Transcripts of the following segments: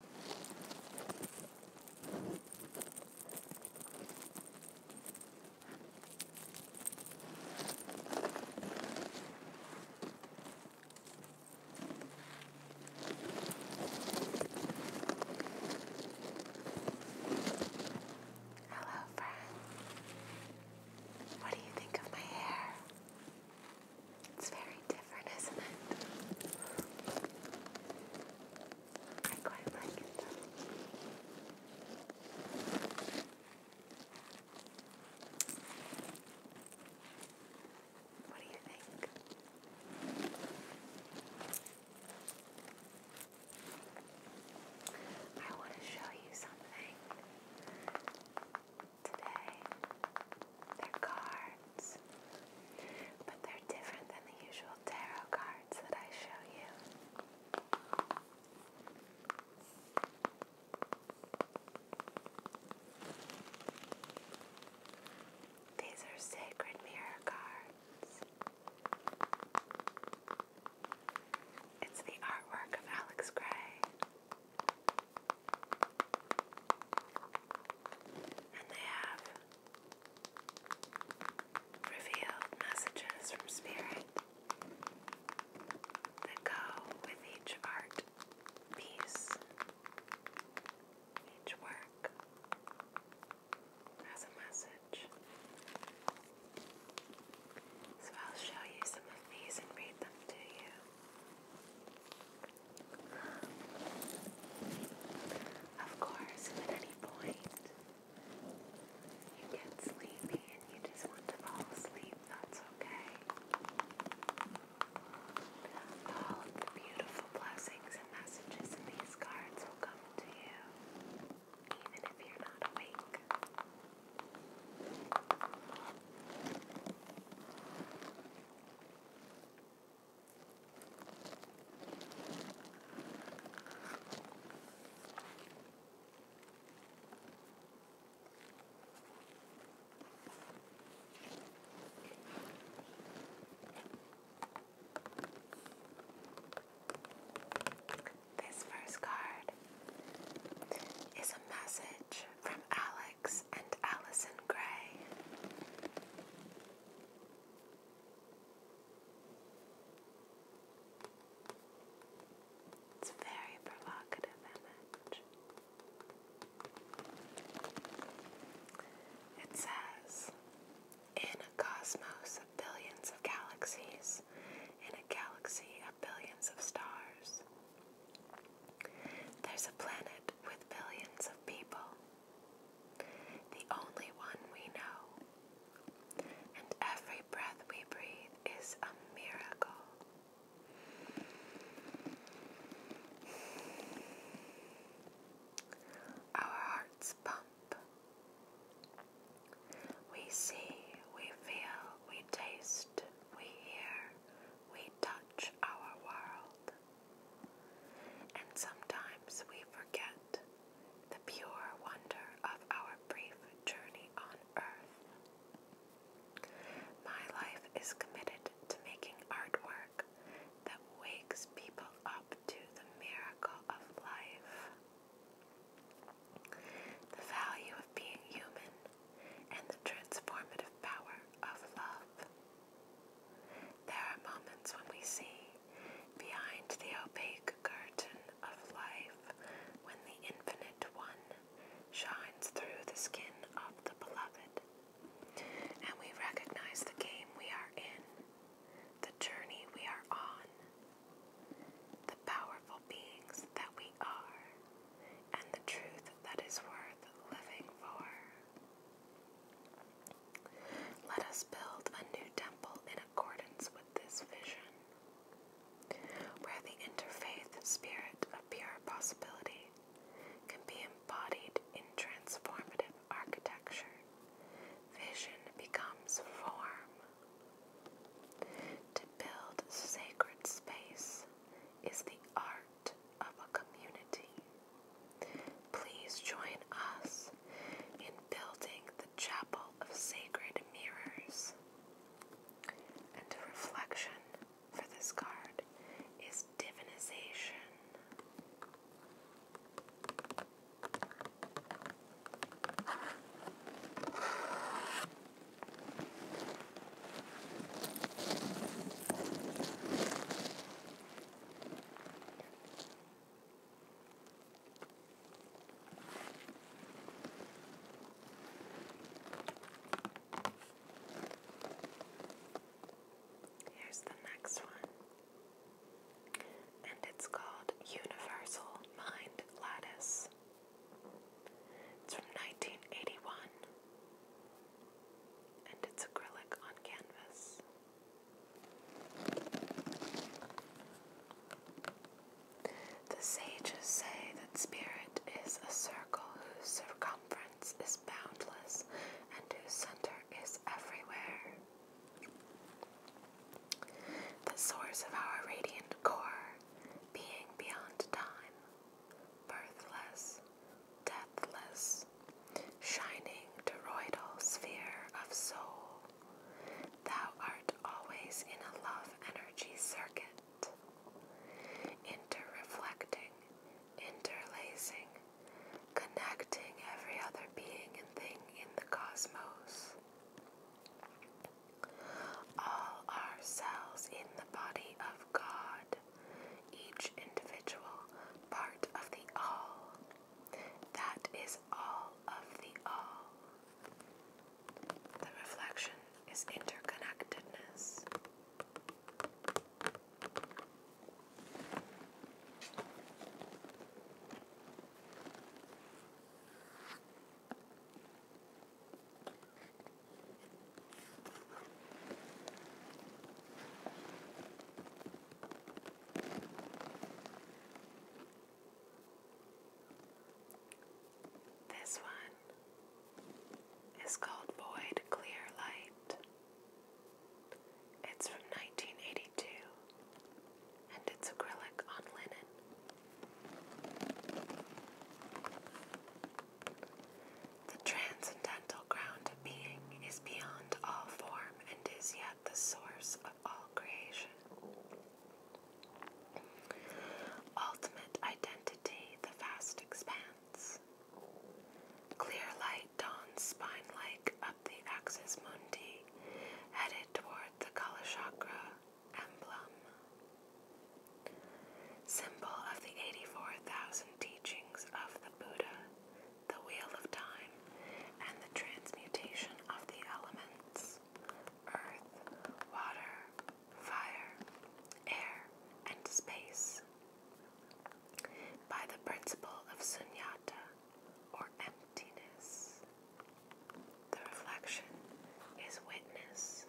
Hello, friend. What do you think of my hair? It's very different, isn't it? I quite like it though. What do you think? I want to show you something today. They're cards, but they're different than the usual tarot cards that I show you. These are sacred mirror cards. It's the artwork of Alex Gray and they have revealed messages from Spirit that go with each art piece, each work has a message. So I'll show you some of these and read them to you. Of course, at any point you get sleepy and you just want to fall asleep, that's okay. All of the beautiful blessings and messages in these cards will come to you, even if you're not awake. This first card is a message from Alex and Allison Gray. It's very provocative image. It says, in a cosmos of billions of galaxies, in a galaxy of billions of stars, there's a planet with billions of people the only one we know, and every breath we breathe is a miracle. Our hearts pump. We see, we feel, we taste, we hear, we touch our world. And sometimes we forget the pure wonder of our brief journey on earth. My life is committed to making artwork that wakes people up to the miracle of life, the value of being human, and the transformative power of love. There are moments when we see, behind the opaque curtain of life, when the Infinite One shines through the skin of the beloved, and we recognize the game we are in, the journey we are on, the powerful beings that we are, and the truth that is worth living for. Let us build a new temple in accordance with this vision, where the interfaith spirit of pure possibility can be embodied in transformative architecture. Vision becomes form. To build sacred space is the art of a community. Please join us in building the Chapel of Sacred Mirrors. And a reflection for this card is divinization. Here's the next one, and it's called Universal Mind Lattice. It's from 1981 and it's acrylic on canvas. The sages say that spirit is a circle whose circumference is boundless and whose center is everywhere. The source of our radiant core, being beyond time, birthless, deathless, shining toroidal sphere of soul. Thou art always in a love energy circuit, interreflecting, interlacing, connecting every other being and thing in the cosmos. All are cells in the body of God each individual part of the all. That is all of the all. The reflection is interconnectedness. This one is called Void Clear Light. It's from 1982 and it's acrylic on linen. The transcendental ground of being is beyond all form and is yet the source of all creation. Ultimate identity, the vast expanse. Clear light dawns spine like up the axis mundi, headed toward the chakra emblem symbol of the 84,000 teachings of the Buddha, the Wheel of Time, and the transmutation of the elements earth, water, fire, air, and space. By the principle of sunyata, or emptiness. The reflection is witness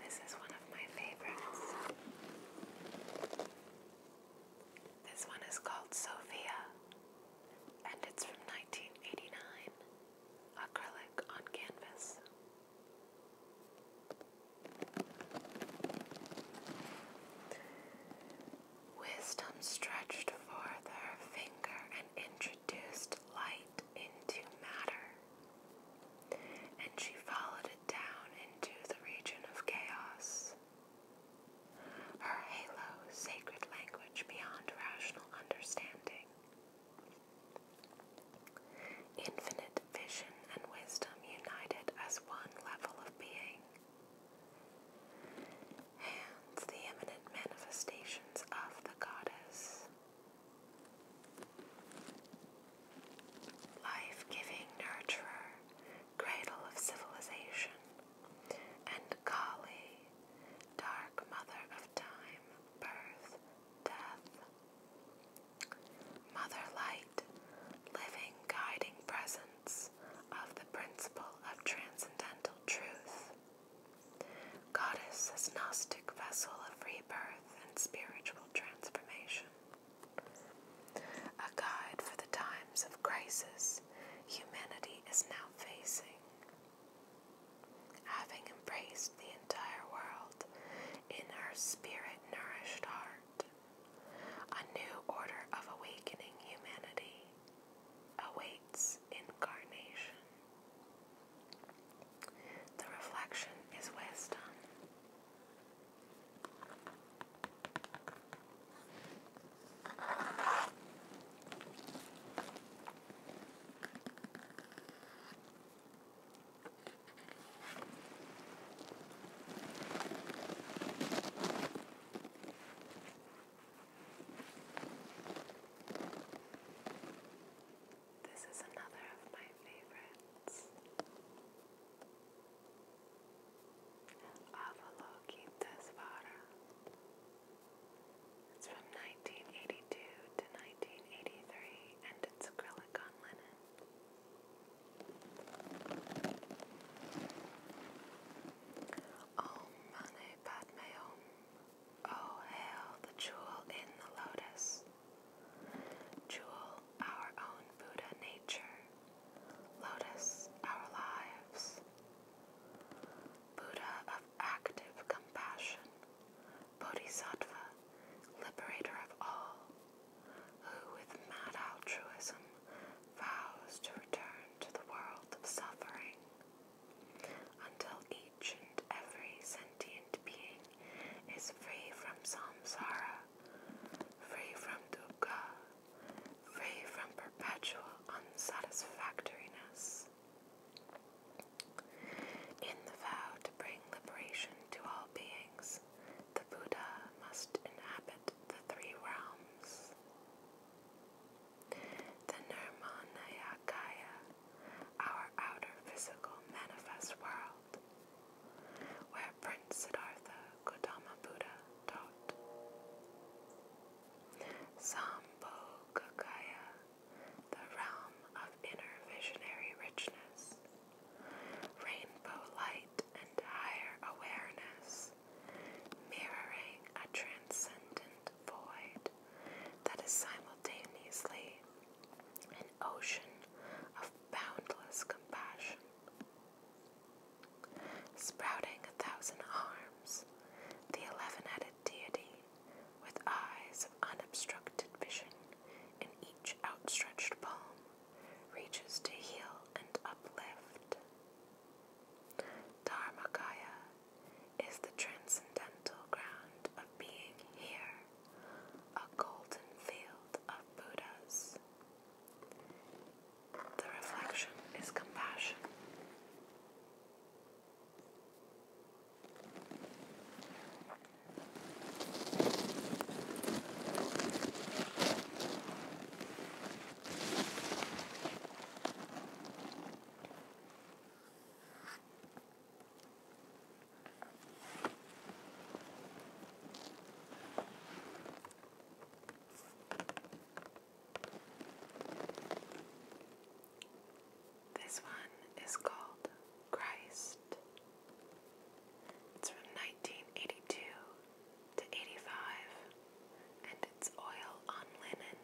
this is one of my favorites. This one is called Sophia, and it's from 1989, acrylic on canvas. Wisdom stretched forth her finger and introduced light into matter, and she followed it down into the region of chaos her halo sacred language beyond rational understanding. Infinite vision and wisdom united as one level of being. and the eminent manifestations of the goddess. Life giving nurturer, cradle of civilization, and Kali, dark mother of time, birth, death. Mother Light, living guiding presence of the principle of transcendental truth. Goddess as Gnostic vessel of rebirth and spiritual transformation a guide for the times of crisis humanity is now facing. Having embraced the entire world in her spirit nourished heart, a new order of awakening humanity awaits incarnation. The reflection is wisdom. This is another of my favorites. Avalokita Svara. It's from 1982 to 1983 and it's acrylic on linen. Om Mani Padme Hum. Oh, hail the jewel in the lotus. Jewel, our own Buddha nature. Lotus, our lives. Buddha of active compassion, Bodhisattva, liberator of all, who with mad altruism vows to return to the world of suffering until each and every sentient being is free from samsara, free from dukkha, free from perpetual unsatisfactoriness. In the vow to bring liberation to all beings, the Buddha must inhabit the three realms. The Nirmanayakaya, our outer physical manifest world, where Siddhartha Gautama Buddha taught. Sambhogakaya, the realm of inner visionary richness, rainbow light and higher awareness, mirroring a transcendent void that is simultaneously an ocean of boundless compassion. Sprouting a thousand arms, the eleven headed deity, with eyes of unobstructed vision in each outstretched palm, reaches to heal and uplift. Dharmakaya is the transcendental ground of being here, a golden field of Buddhas. The reflection is compassion. This one is called Christ. It's from 1982 to 85 and it's oil on linen.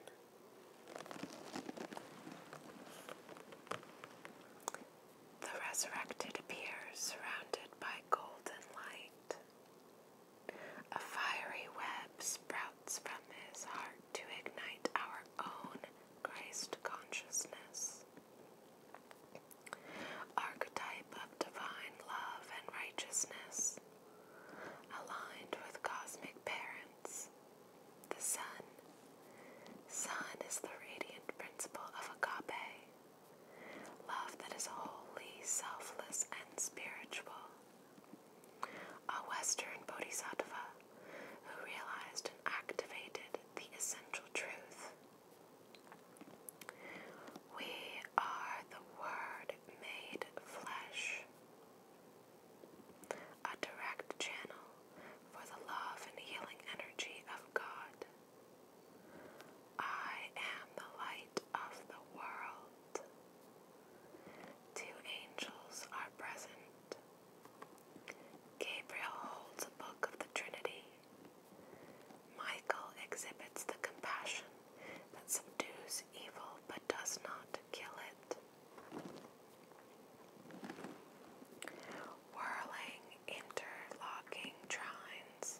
The resurrected appears surrounded by golden light. A fiery web sprouts from his heart to ignite our own Christ consciousness. Archetype of divine love and righteousness, aligned with cosmic parents, the sun. Sun is the radiant principle of agape, Love that is wholly selfless and spiritual. A Western Bodhisattva who realized and activated the essential truth. We are the Word made flesh, a direct channel for the love and healing energy of God. I am the light of the world. Two angels are present. Gabriel holds a book of the Trinity. Michael exhibits the compassion that subdues evil but does not kill it. Whirling, interlocking trines,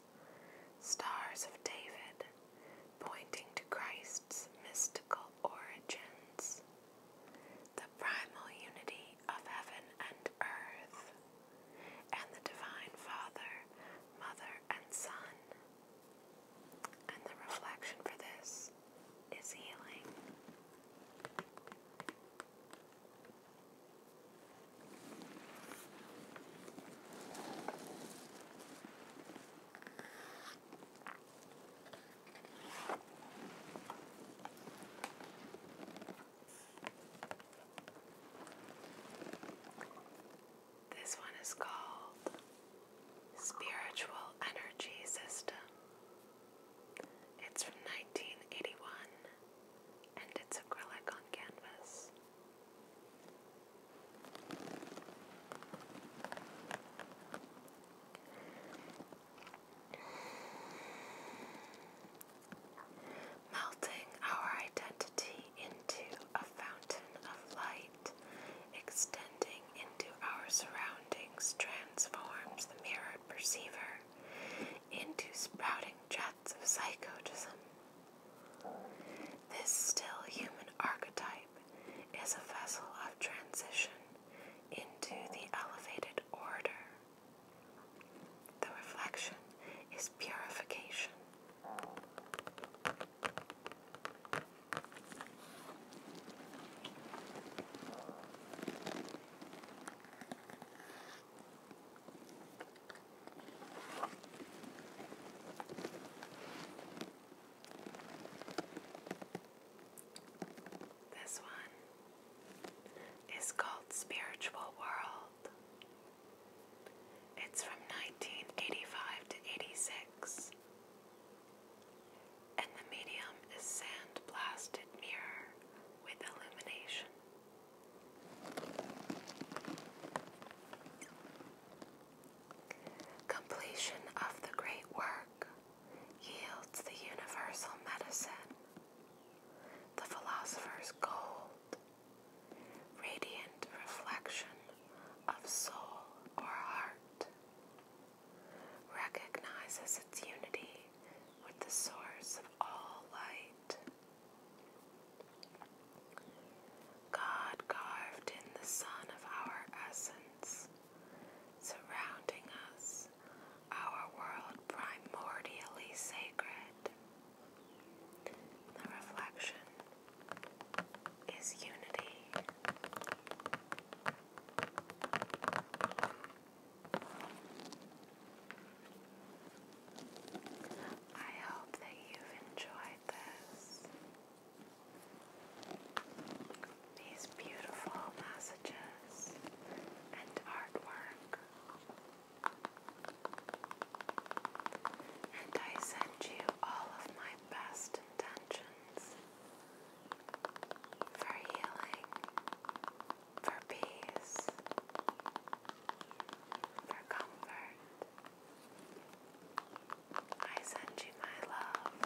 stars of David, pointing to Christ's mystical origins, the primal unity of heaven and earth, and the Divine Father, Mother, and Son. And the reflection for this is healing. This one is called Spiritual Energy System. It's from 1981 and it's acrylic on canvas. Melting our identity into a fountain of light, extending into our surroundings, transforms the mirrored perceiver into sprouting. jets of psychotism. This still human archetype is a vessel of transition into the elevated order. The reflection is purification. This one is called Spiritual World. It's from 1985 to 86. And the medium is sand mirror with illumination. Completion of the great work yields the universal medicine, the philosopher's gold, radiant reflection of soul or heart, recognizes its unity with the source of all light. God carved in the sun of our essence, surrounding us, our world primordially sacred. The reflection is unity. I hope that you've enjoyed this. These beautiful messages and artwork. And I send you all of my best intentions for healing, for peace, for comfort. I send you my love.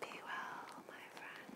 Be well, my friend.